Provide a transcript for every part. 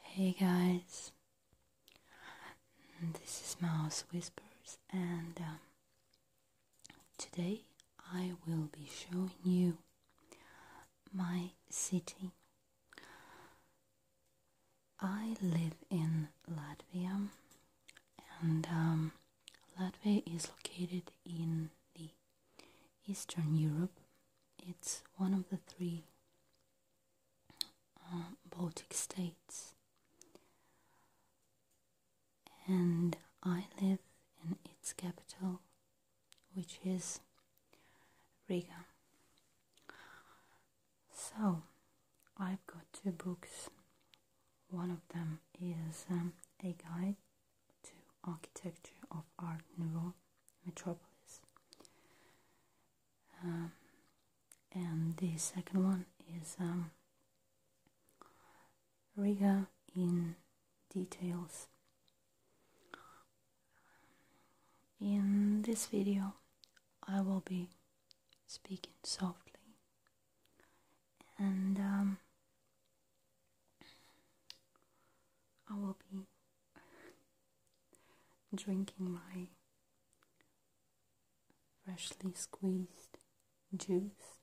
Hey guys, this is Mouse Whispers, and um, today I will be showing you my city. I live in Latvia, and um, Latvia is located in the Eastern Europe, it's one of the three uh, Baltic states. And I live in its capital, which is Riga. So, I've got two books. One of them is um, a guide to architecture of Art new metropolis. Um, and the second one is um, Riga in details. In this video, I will be speaking softly and um, I will be drinking my freshly squeezed juice.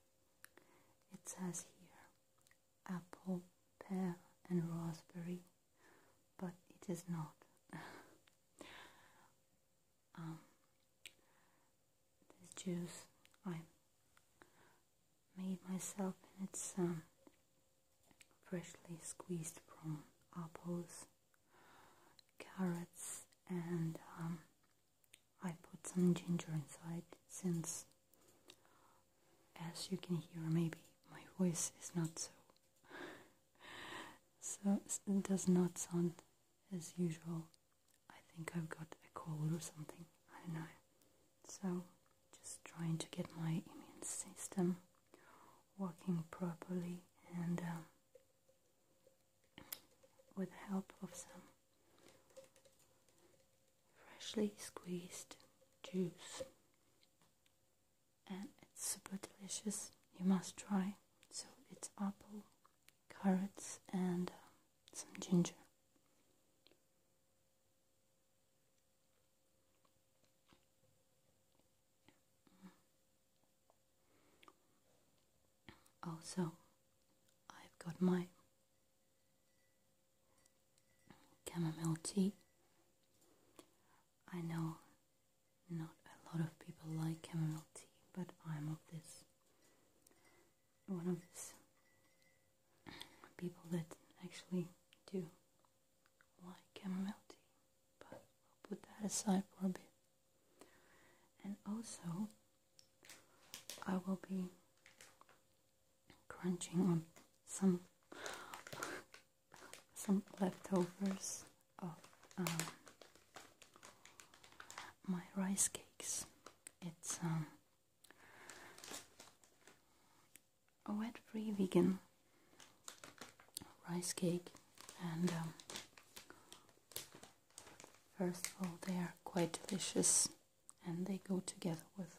It says here apple, pear, and raspberry, but it is not. Um, this juice I made myself and its um, freshly squeezed from apples, carrots, and um, I put some ginger inside since, as you can hear, maybe my voice is not so, so it does not sound as usual. I think I've got a cold or something. I don't know. So, just trying to get my immune system working properly and um, with the help of some freshly squeezed juice. And it's super delicious. You must try. So, it's apple, carrots, and um, some ginger. Also, oh, I've got my chamomile tea. I know not a lot of people like chamomile tea, but I'm of this one of this people that actually do like chamomile tea, but we'll put that aside for a bit. And also, I will be crunching on some some leftovers of um, my rice cakes. It's um, a wet free vegan rice cake and um, first of all they are quite delicious and they go together with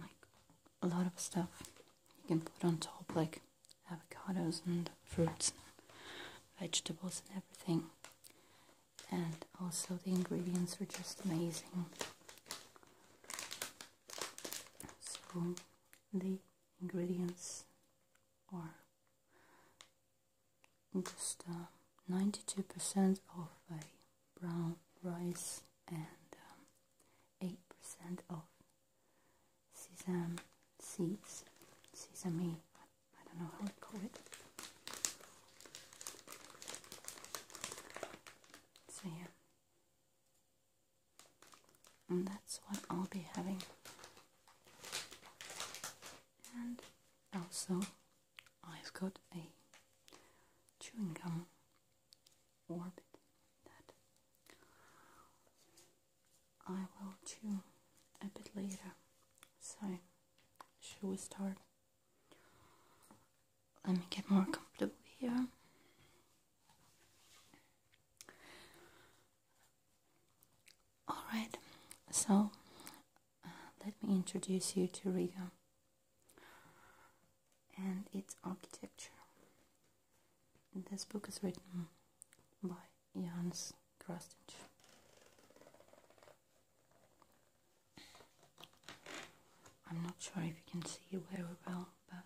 like a lot of stuff you can put on top like avocados and fruits vegetables and everything and also the ingredients are just amazing so the ingredients are just 92% uh, of uh, brown rice and 8% um, of sesame seeds, sesame, I don't know how to call it. So yeah. And that's what I'll be having. And also, I've got a chewing gum orbit that I will chew a bit later. So, should we start? Let me get more comfortable here. Alright, so uh, let me introduce you to Riga and its architecture. This book is written by Jans Krasnich. I'm not sure if you can see it very well, but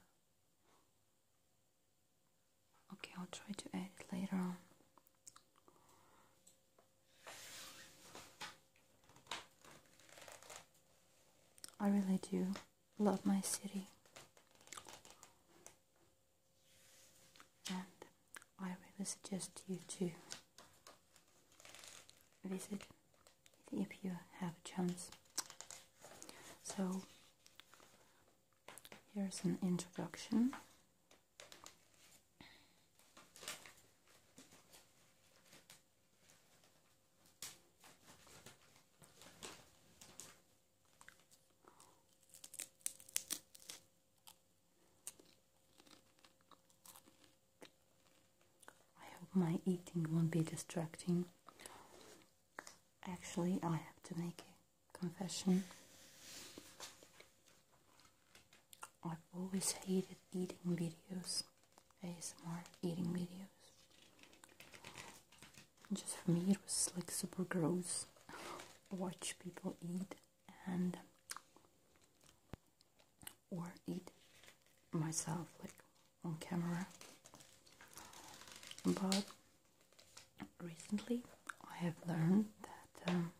okay, I'll try to add it later on. I really do love my city. And I really suggest you to visit if you have a chance. So, here's an introduction. I hope my eating won't be distracting. Actually, I have to make a confession. I've always hated eating videos, more eating videos. Just for me, it was like super gross. Watch people eat, and or eat myself like on camera but recently I have learned that um,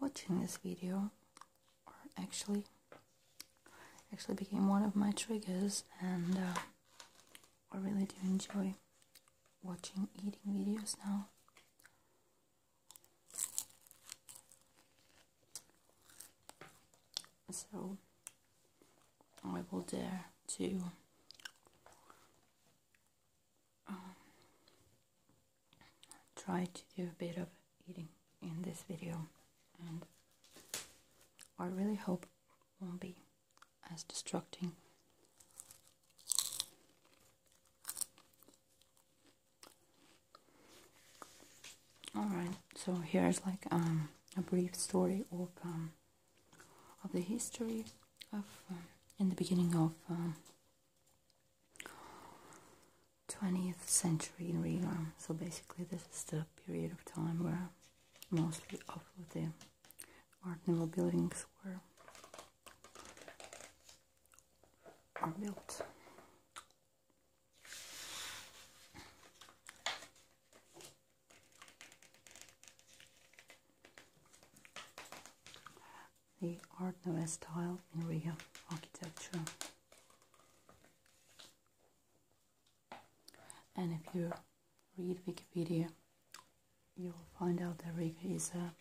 watching this video actually actually became one of my triggers and uh, I really do enjoy watching eating videos now so I will dare to um, try to do a bit of eating in this video and I really hope it won't be as distracting all right so here's like um, a brief story of um, of the history of um, in the beginning of 20th century in Riga so basically this is the period of time where mostly all of the Art buildings were built the Art Nouveau style in Riga architecture. And if you read Wikipedia, you'll find out that Riga is a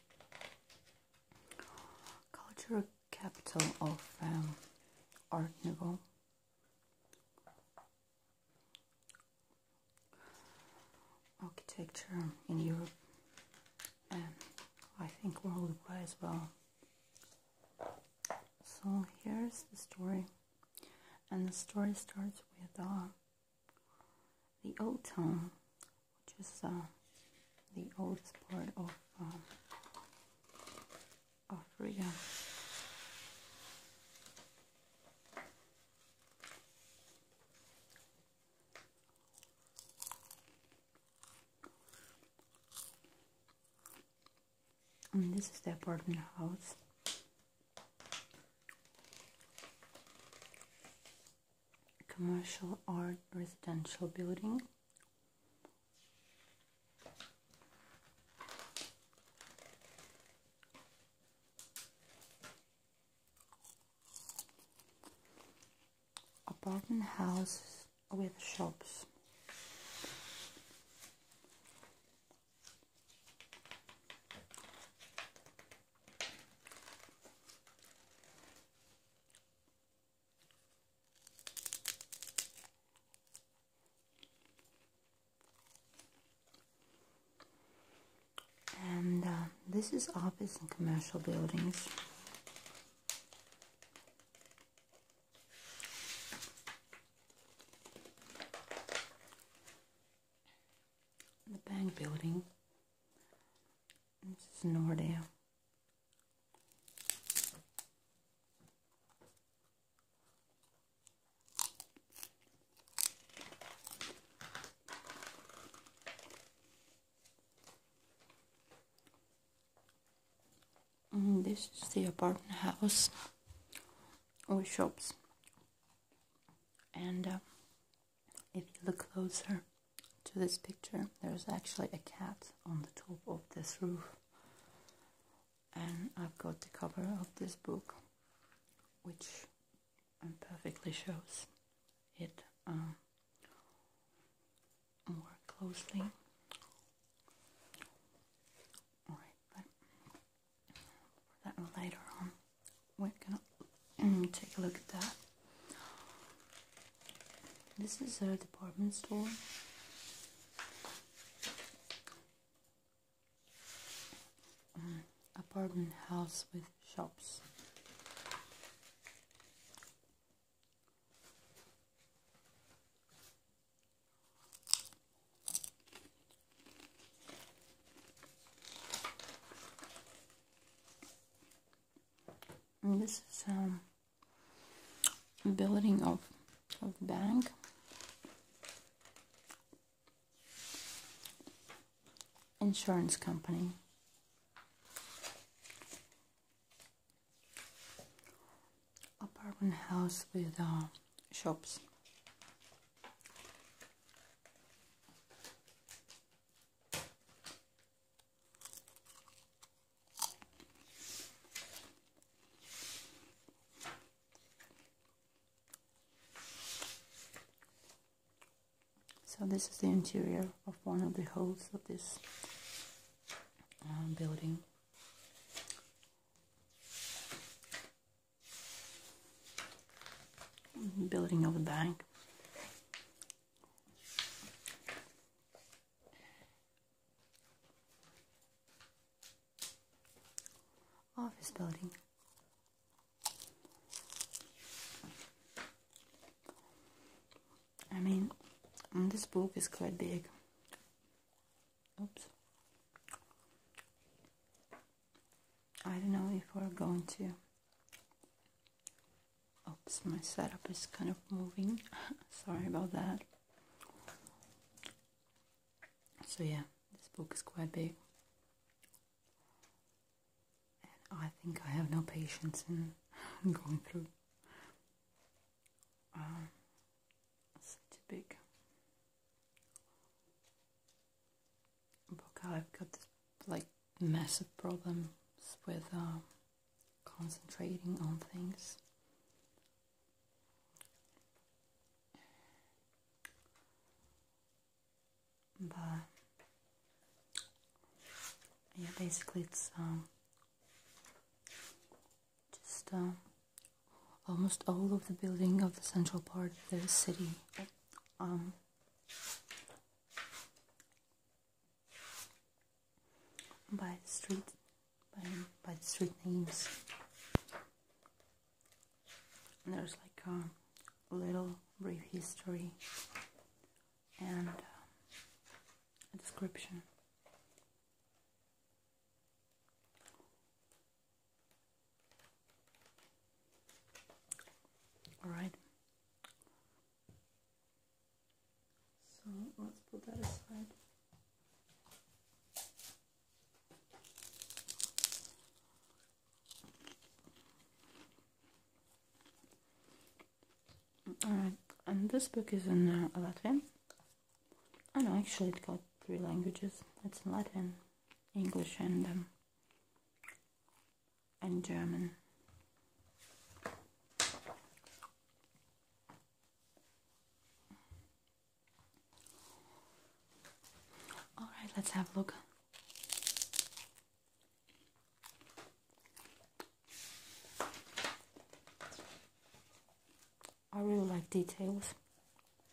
cultural capital of um, Art Nouveau architecture in Europe and um, I think worldwide as well. So here's the story, and the story starts with uh, the old town, which is uh, the oldest part of uh, Oh, this is the apartment house. Commercial or residential building Apartment houses with shops. And uh, this is office and commercial buildings. The bank building. This is Nordea. Mm-hmm, this is the apartment house or shops and uh, if you look closer to this picture there's actually a cat on the top of this roof and I've got the cover of this book which perfectly shows it um, more closely. Alright, but for that later on, we're gonna mm, take a look at that. This is a department store Mm, apartment house with shops. this is um building of, of bank insurance company apartment house with uh, shops so this is the interior of one of the holes of this um, building. Building of a bank office building. I mean, this book is quite big. Oops. I don't know if we're going to. Oops, my setup is kind of moving. Sorry about that. So, yeah, this book is quite big. And I think I have no patience in going through um, such a big book. I've got like massive problems with um, concentrating on things. But yeah, basically it's um just uh, almost all of the building of the central part of the city um, by the street by, the street names. And there's like a little brief history and uh, a description. Alright. So let's put that aside. Alright, and this book is in uh, Latvian. I know, actually it got three languages. It's in Latvian, English and um, and German. All right, let's have a look. I really like details.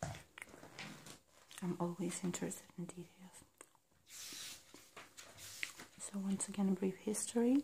I'm always interested in details. So once again, a brief history.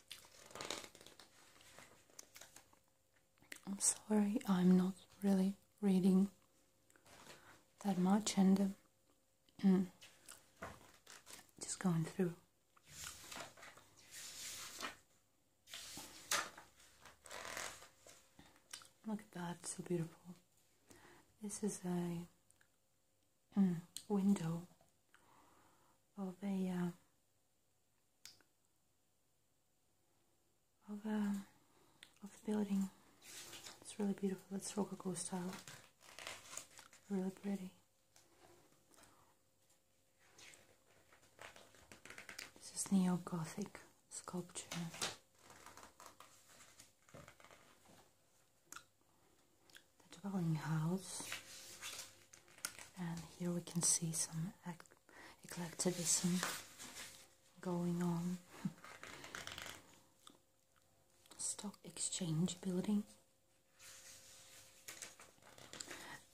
I'm sorry, I'm not really reading that much and um, mm, just going through. Look at that, so beautiful. This is a mm, window of a uh, of, um, of the building. It's really beautiful. It's Rococo style. Really pretty. This is neo-gothic sculpture. The dwelling house and here we can see some eclecticism going on. Stock Exchange building.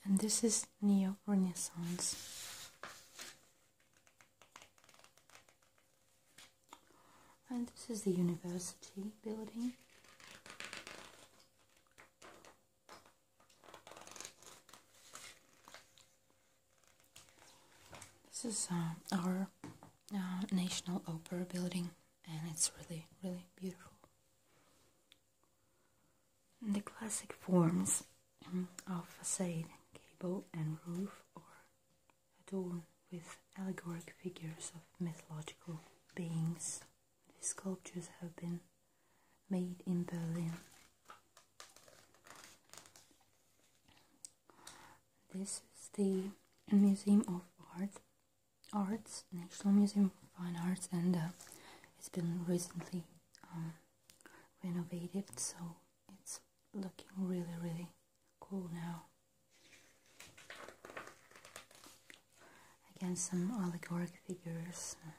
And this is Neo Renaissance. And this is the university building. This is uh, our uh, National Opera building, and it's really, really beautiful. The classic forms um, of facade, gable, and roof are adorned with allegoric figures of mythological beings. These sculptures have been made in Berlin. This is the Museum of Art, Arts, National Museum of Fine Arts, and uh, it's been recently um, renovated, so it's looking really, really cool now again some allegoric figures and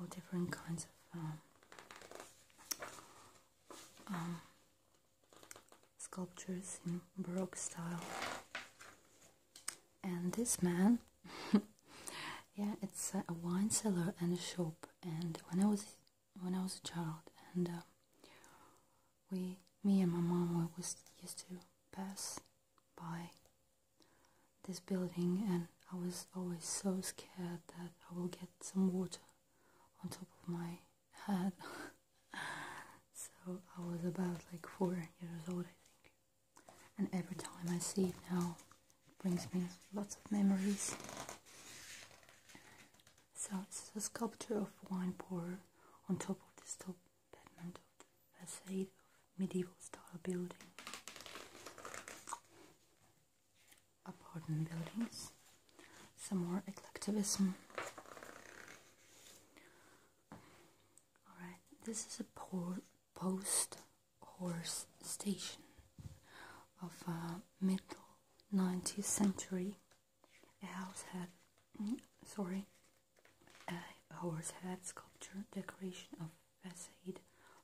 all different kinds of um, um, sculptures in Baroque style. And this man, yeah, it's a wine cellar and a shop. And when I was when I was a child, and uh, we, me and my mom, we was used to pass by this building, and I was always so scared that I will get some water on top of my head. so I was about like four years old, I think. And every time I see it now, it brings me lots of memories. So it's a sculpture of wine pourer on top of this top pediment of the facade of medieval style building, apartment buildings, some more eclecticism. Alright, this is a post horse station of uh, middle 19th century. A house had, mm, sorry, a horse head sculpture decoration of facade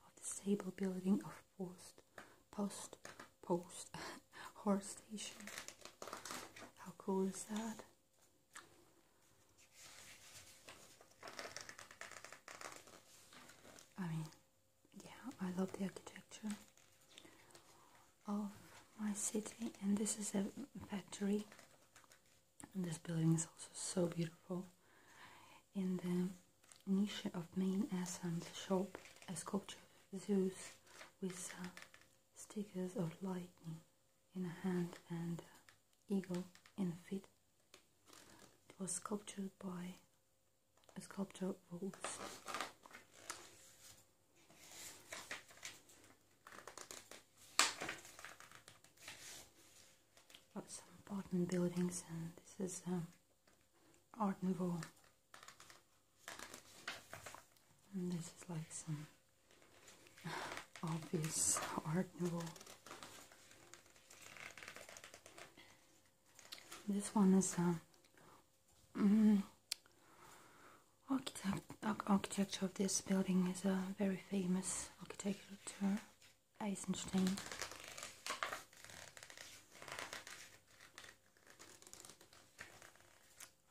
of the stable building of post, post, post, horse station. How cool is that? I mean, yeah, I love the architecture of my city, and this is a factory this building is also so beautiful. In the niche of main entrance shop, a sculpture Zeus with uh, stickers of lightning in a hand and uh, eagle in feet. was sculpted by a sculptor Wolves got some apartment buildings and this is um, Art Nouveau and this is like some obvious Art Nouveau this one is um, mm, architecture of this building is a very famous architecture Eisenstein.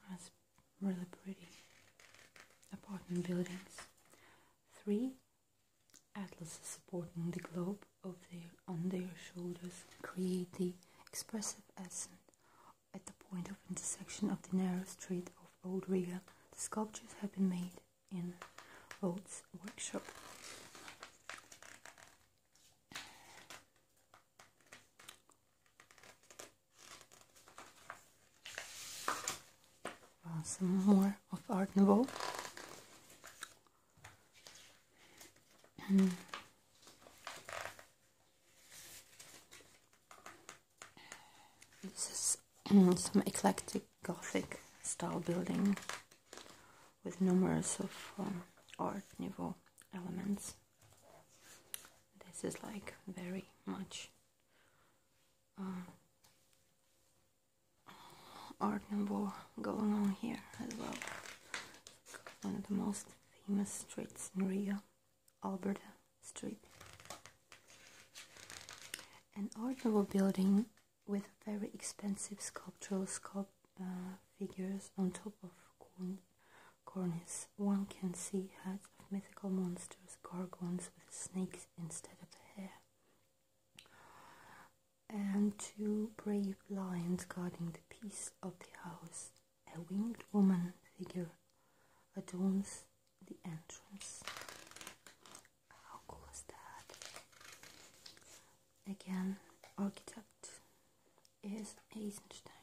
That's really pretty. Apartment buildings. Three atlases supporting the globe of their, on their shoulders create the expressive ascent. at the point of intersection of the narrow street of Old Riga. The sculptures have been made in Rhodes workshop. Uh, some more of Art Nouveau. Hmm. this is some eclectic Gothic style building with numerous of um, art nouveau elements. This is like very much uh, art nouveau going on here as well. One of the most famous streets in Rio, Alberta Street. An art nouveau building with very expensive sculptural uh, figures on top of cornices, One can see heads of mythical monsters, gargoyles with snakes instead of hair. And two brave lions guarding the peace of the house. A winged woman figure adorns the entrance. How cool is that? Again, architect is Eisenstein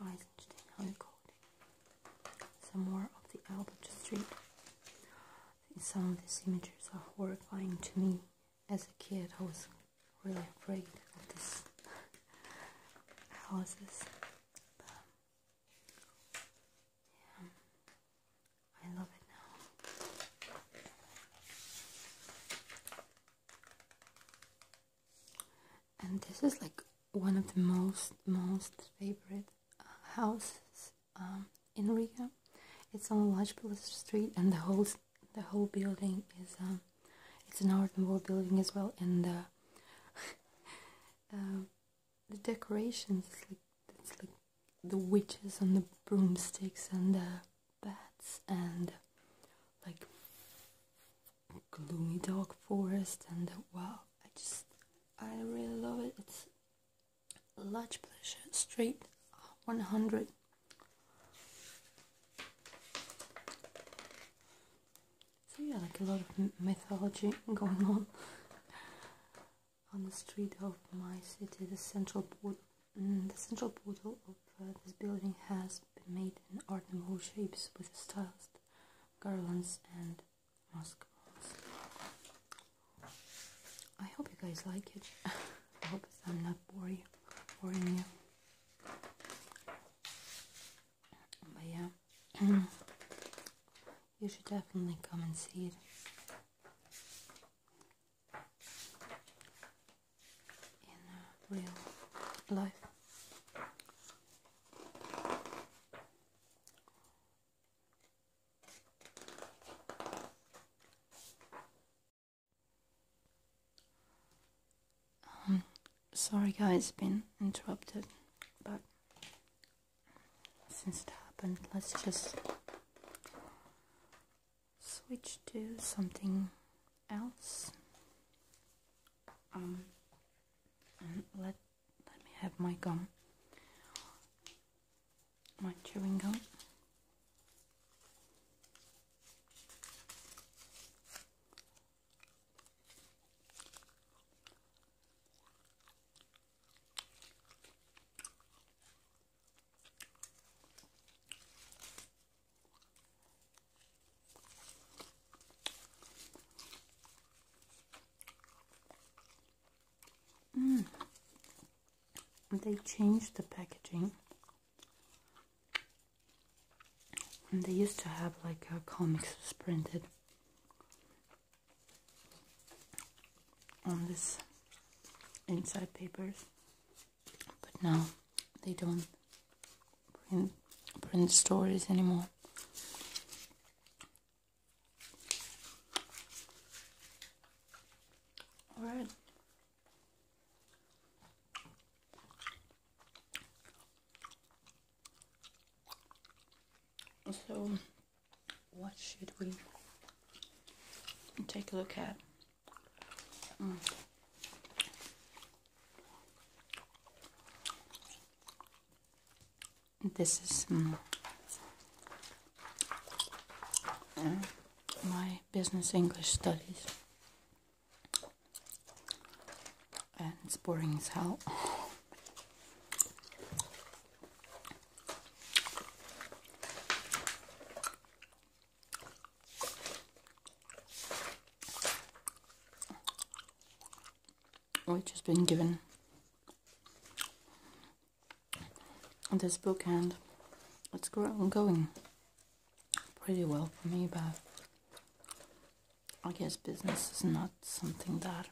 or Eisenstein, how you call it. Some more of the Albert Street. Some of these images are horrifying to me. As a kid, I was really afraid of these houses. Yeah. I love it now. And this is like one of the most most favorite uh, houses um, in Riga. It's on Lajpila Street, and the whole the whole building is um, it's an art and wall building as well, and the uh, uh, the decorations it's like the witches and the broomsticks and the bats and like gloomy dark forest and wow I just I really love it it's a large pleasure straight 100 so yeah like a lot of mythology going on on the street of my city. The central port, mm, the central portal of uh, this building has been made in Art Nouveau shapes with styles, garlands, and masks. I hope you guys like it. I hope I'm not boring, boring you. But yeah, you should definitely come and see it. In real life. Um, sorry guys, been interrupted, but since it happened, let's just switch to something else. Um, let let me have my gum, my chewing gum. Mm. They changed the packaging. And they used to have like uh, comics printed on this inside papers but now they don't print, stories anymore all right so what should we take a look at? Mm. This is mm, uh, my business English studies, and it's boring as hell which has been given this book and it's going pretty well for me but I guess business is not something that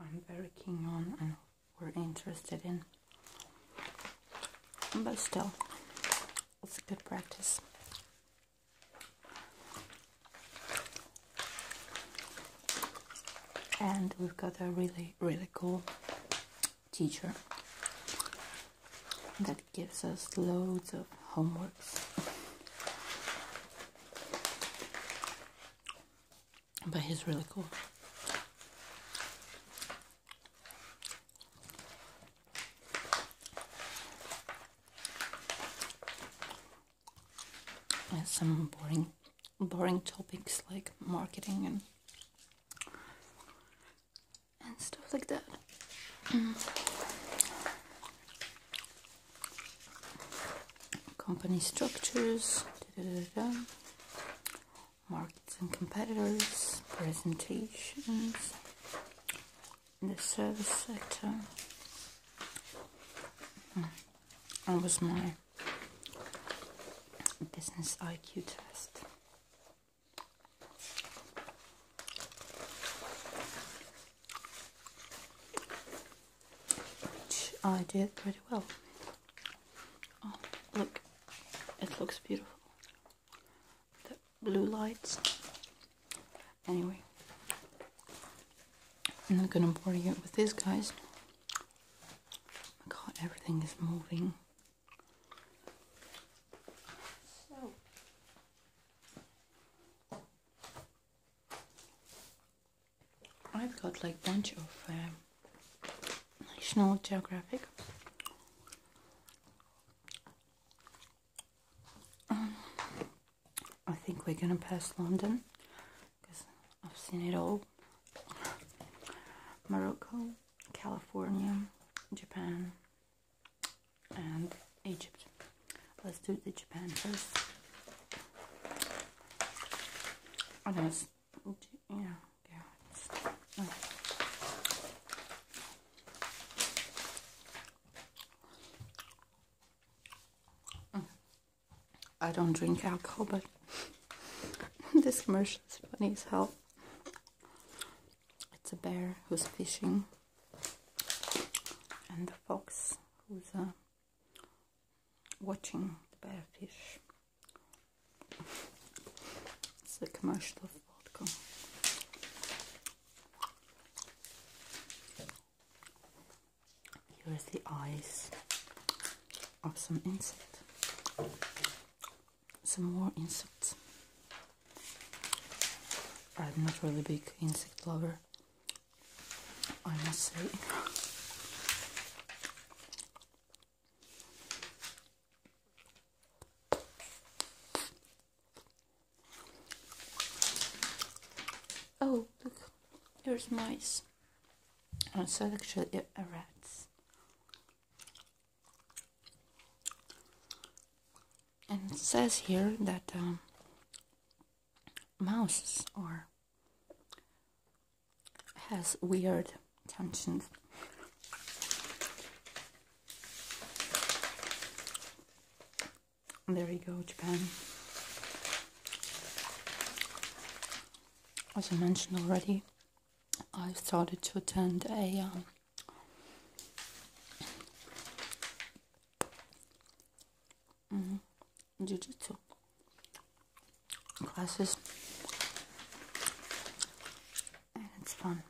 I'm very keen on and we're interested in. But still, it's a good practice. And we've got a really, really cool teacher that gives us loads of homeworks. But he's really cool. And some boring boring topics like marketing and and stuff like that. Mm company structures, markets and competitors, presentations, in the service sector. Hmm. That was my business IQ test. Which I did pretty well. Oh, look, it looks beautiful. The blue lights. Anyway, I'm not gonna bore you with this, guys. Oh my god, everything is moving. So. I've got like bunch of um, National Geographic. Um, I think we're gonna pass London because I've seen it all. Morocco, California, Japan, and Egypt. Let's do the Japan first. I I don't drink alcohol, but this commercial is funny as hell. It's a bear who's fishing, and the fox who's a. Uh, watching the bearfish. It's a commercial of vodka. Here is the eyes of some insect. Some more insects. I'm not really big insect lover, I must say. Oh, look, there's mice. And oh, so actually rats. And it says here that mice um, are has weird tensions. There you go, Japan. As I mentioned already, I started to attend a um, mm-hmm, jiu-jitsu classes it's fun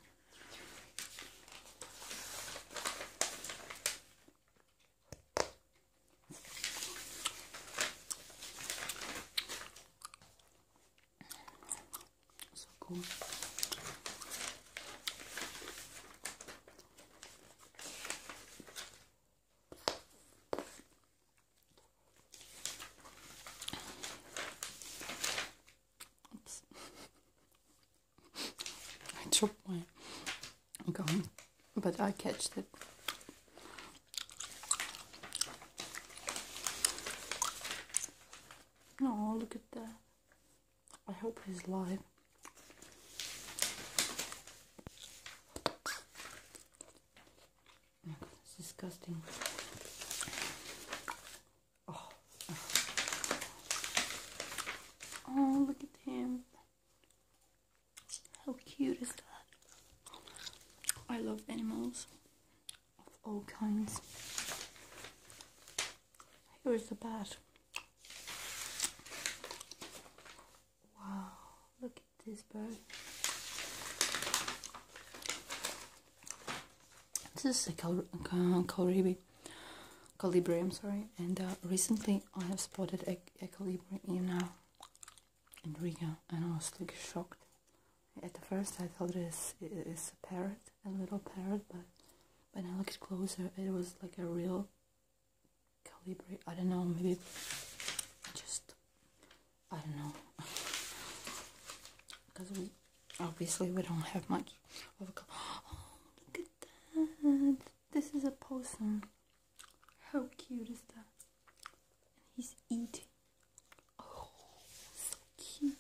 so cool I dropped my gun, but I catched it. Oh, look at that. I hope he's alive that's disgusting. Oh. oh, look at him. How cute is that? I love animals of all kinds. Here's the bat. Wow, look this bird. This is a Calibri, Calibri I'm sorry, and uh, recently I have spotted a, Calibri in, uh, in Riga and I was like shocked. At the first I thought it's, it's a parrot, a little parrot, but when I looked closer it was like a real Calibri, I don't know, maybe just I don't know. Because we obviously we don't have much of a look at that. This is a possum. How cute is that? And he's eating. Oh, so cute.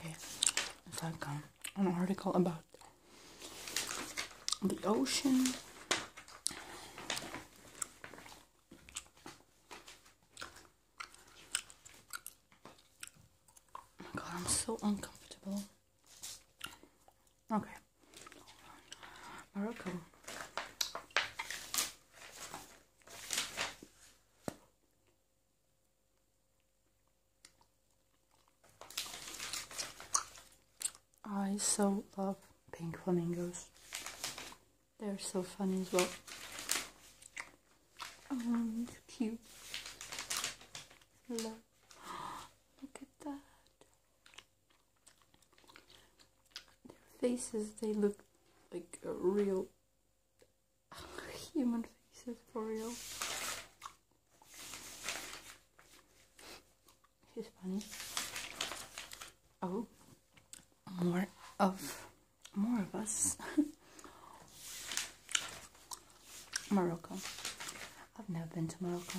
Okay, it's like um, an article about the ocean. Oh my god, I'm so uncomfortable. Okay. I so love pink flamingos. They're so funny as well. Oh, cute. Love. Look at that. Their faces, they look like real human faces for real. She's funny. Oh, more of more of us. Morocco. I've never been to Morocco.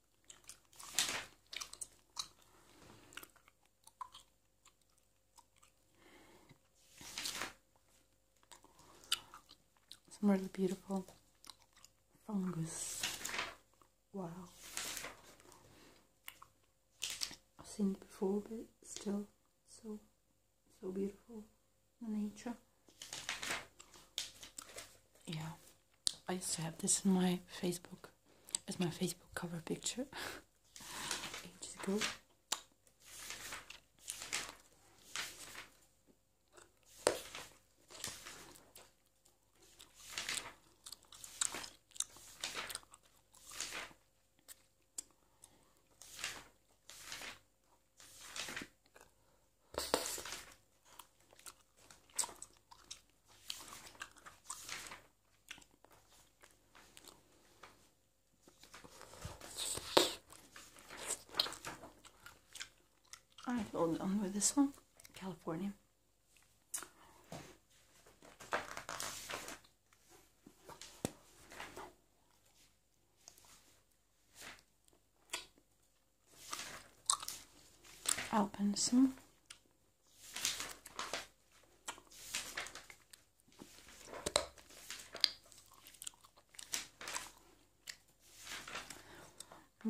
Some really beautiful fungus. Wow. I've seen it before, but still so, so beautiful. The nature. Yeah. I used to have this in my Facebook as my Facebook cover picture ages ago. Alright, hold on with this one. California. Alpensen.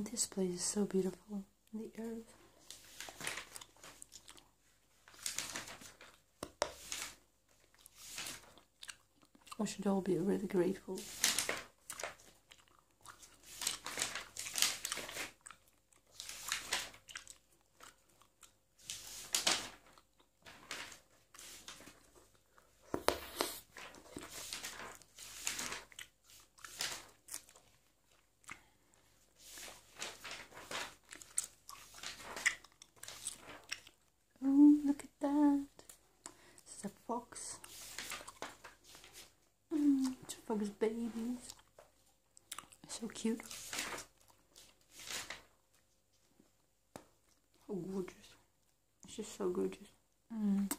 This place is so beautiful. The earth. I should all be really grateful Oh, look at that. This is a fox. Mm, Chewbacca's babies. So cute. So gorgeous. It's just so gorgeous. Mm.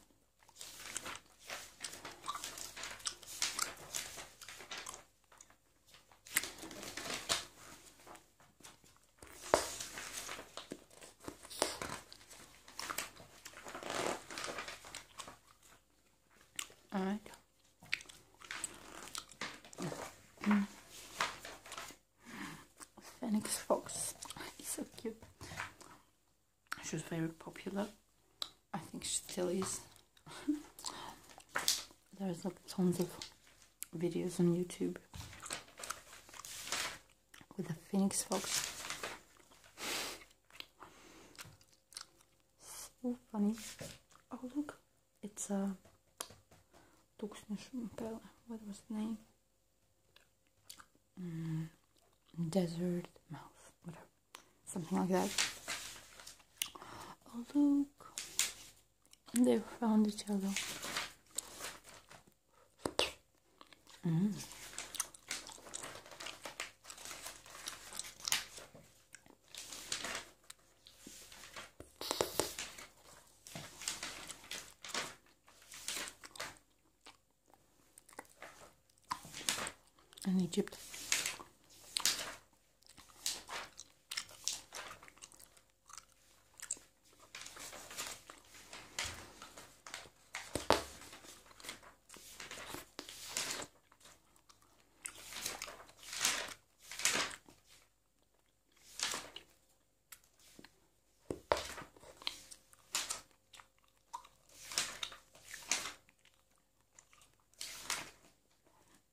All right. Mm. Phoenix Fox is so cute. She was very popular. I think she still is. There's like tons of videos on YouTube with the Phoenix Fox. So funny. Oh, look. It's a uh, What was the name? Mm, desert Mouth. Whatever. Something like that. Oh, look. They found each other. Mm. In Egypt.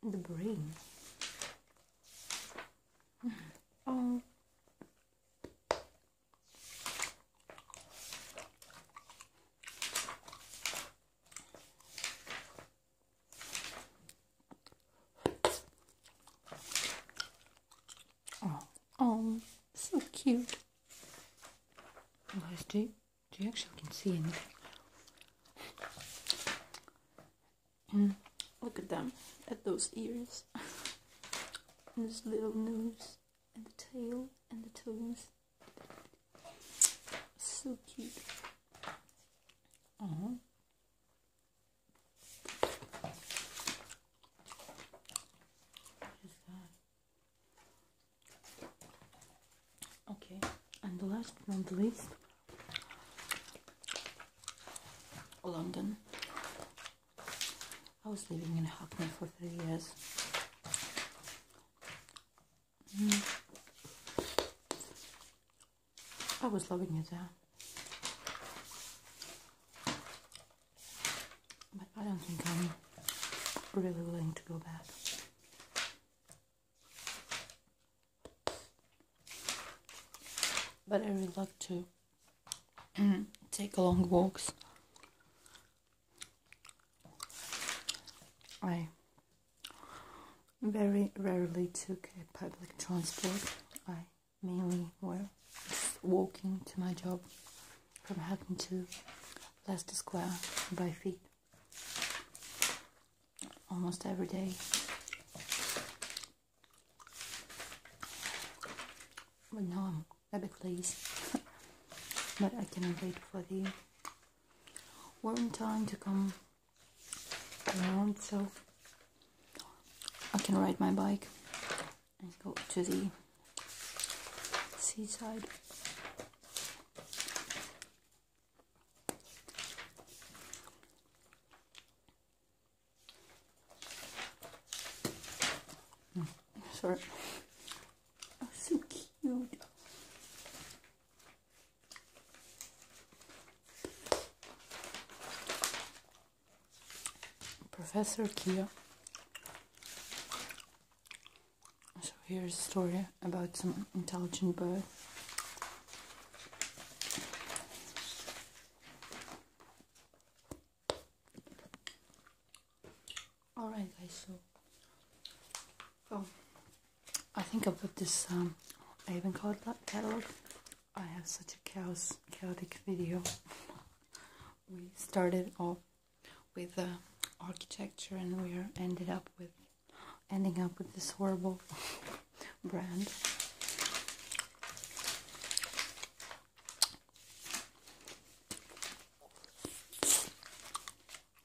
The brain. oh. Oh, oh, so cute. Guys, do you, do actually can see anything? Mm. Look at them, at those ears, and this little nose, and the tail, and the toes. So cute. Uh-huh. Okay, and the last but the least, London. I was living in Hackney for three years. Mm. I was loving it there. But I don't think I'm really willing to go back. But I would love to take long walks I very rarely took a public transport. I mainly were walking to my job from Hackney to Leicester Square by feet almost every day. But now I'm at the place, but I cannot wait for the were time to come around, so I can ride my bike and go to the seaside. Hmm. sorry so cute. Professor Kia. So here's a story about some intelligent bird. Alright guys, so oh, I think I put this I um, Avon catalog. I have such a chaos, chaotic video. we started off with architecture and we are ended up with ending up with this horrible brand.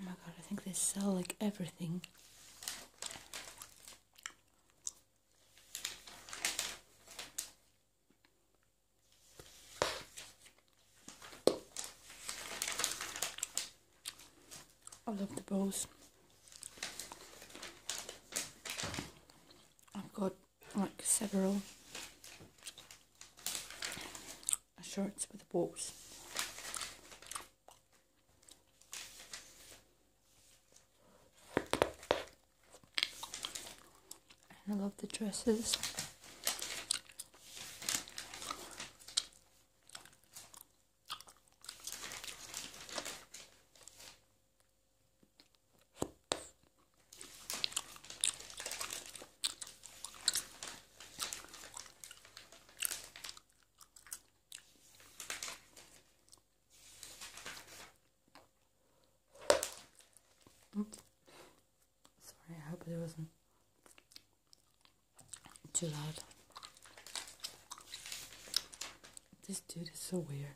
Oh my god, I think they sell like everything. I love the bows. I've got like several shirts with the bows. I love the dresses. Sorry, I hope it wasn't too loud. This dude is so weird.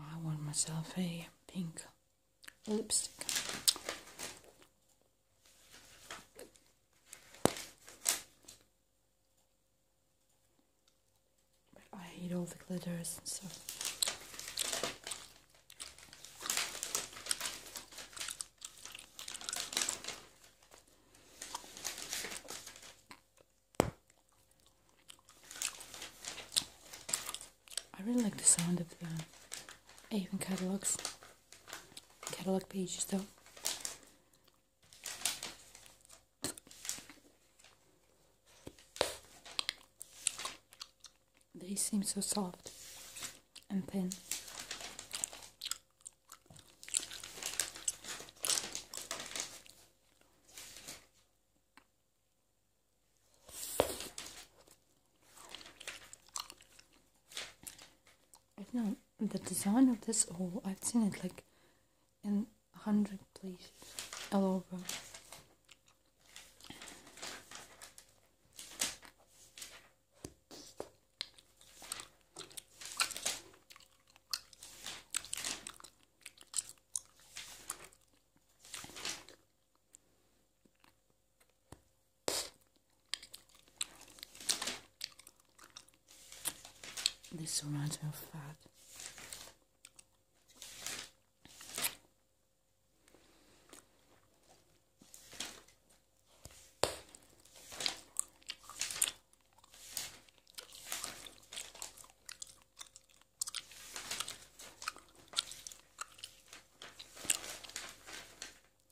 I want myself a pink lipstick. I hate all the glitters I really like the sound of the even catalogs, catalog pages though. They seem so soft and thin. I know the design of this all. I've seen it like in a hundred places all over. This reminds me of fat.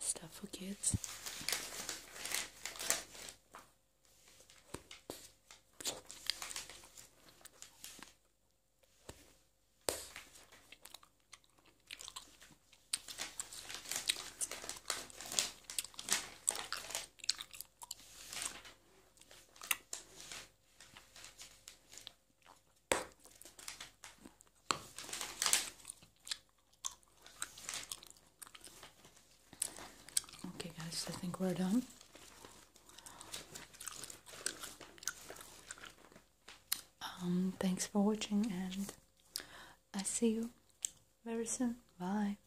Stuff for kids. Okay, guys, I think we're done. Um, thanks for watching, and I see you very soon. Bye.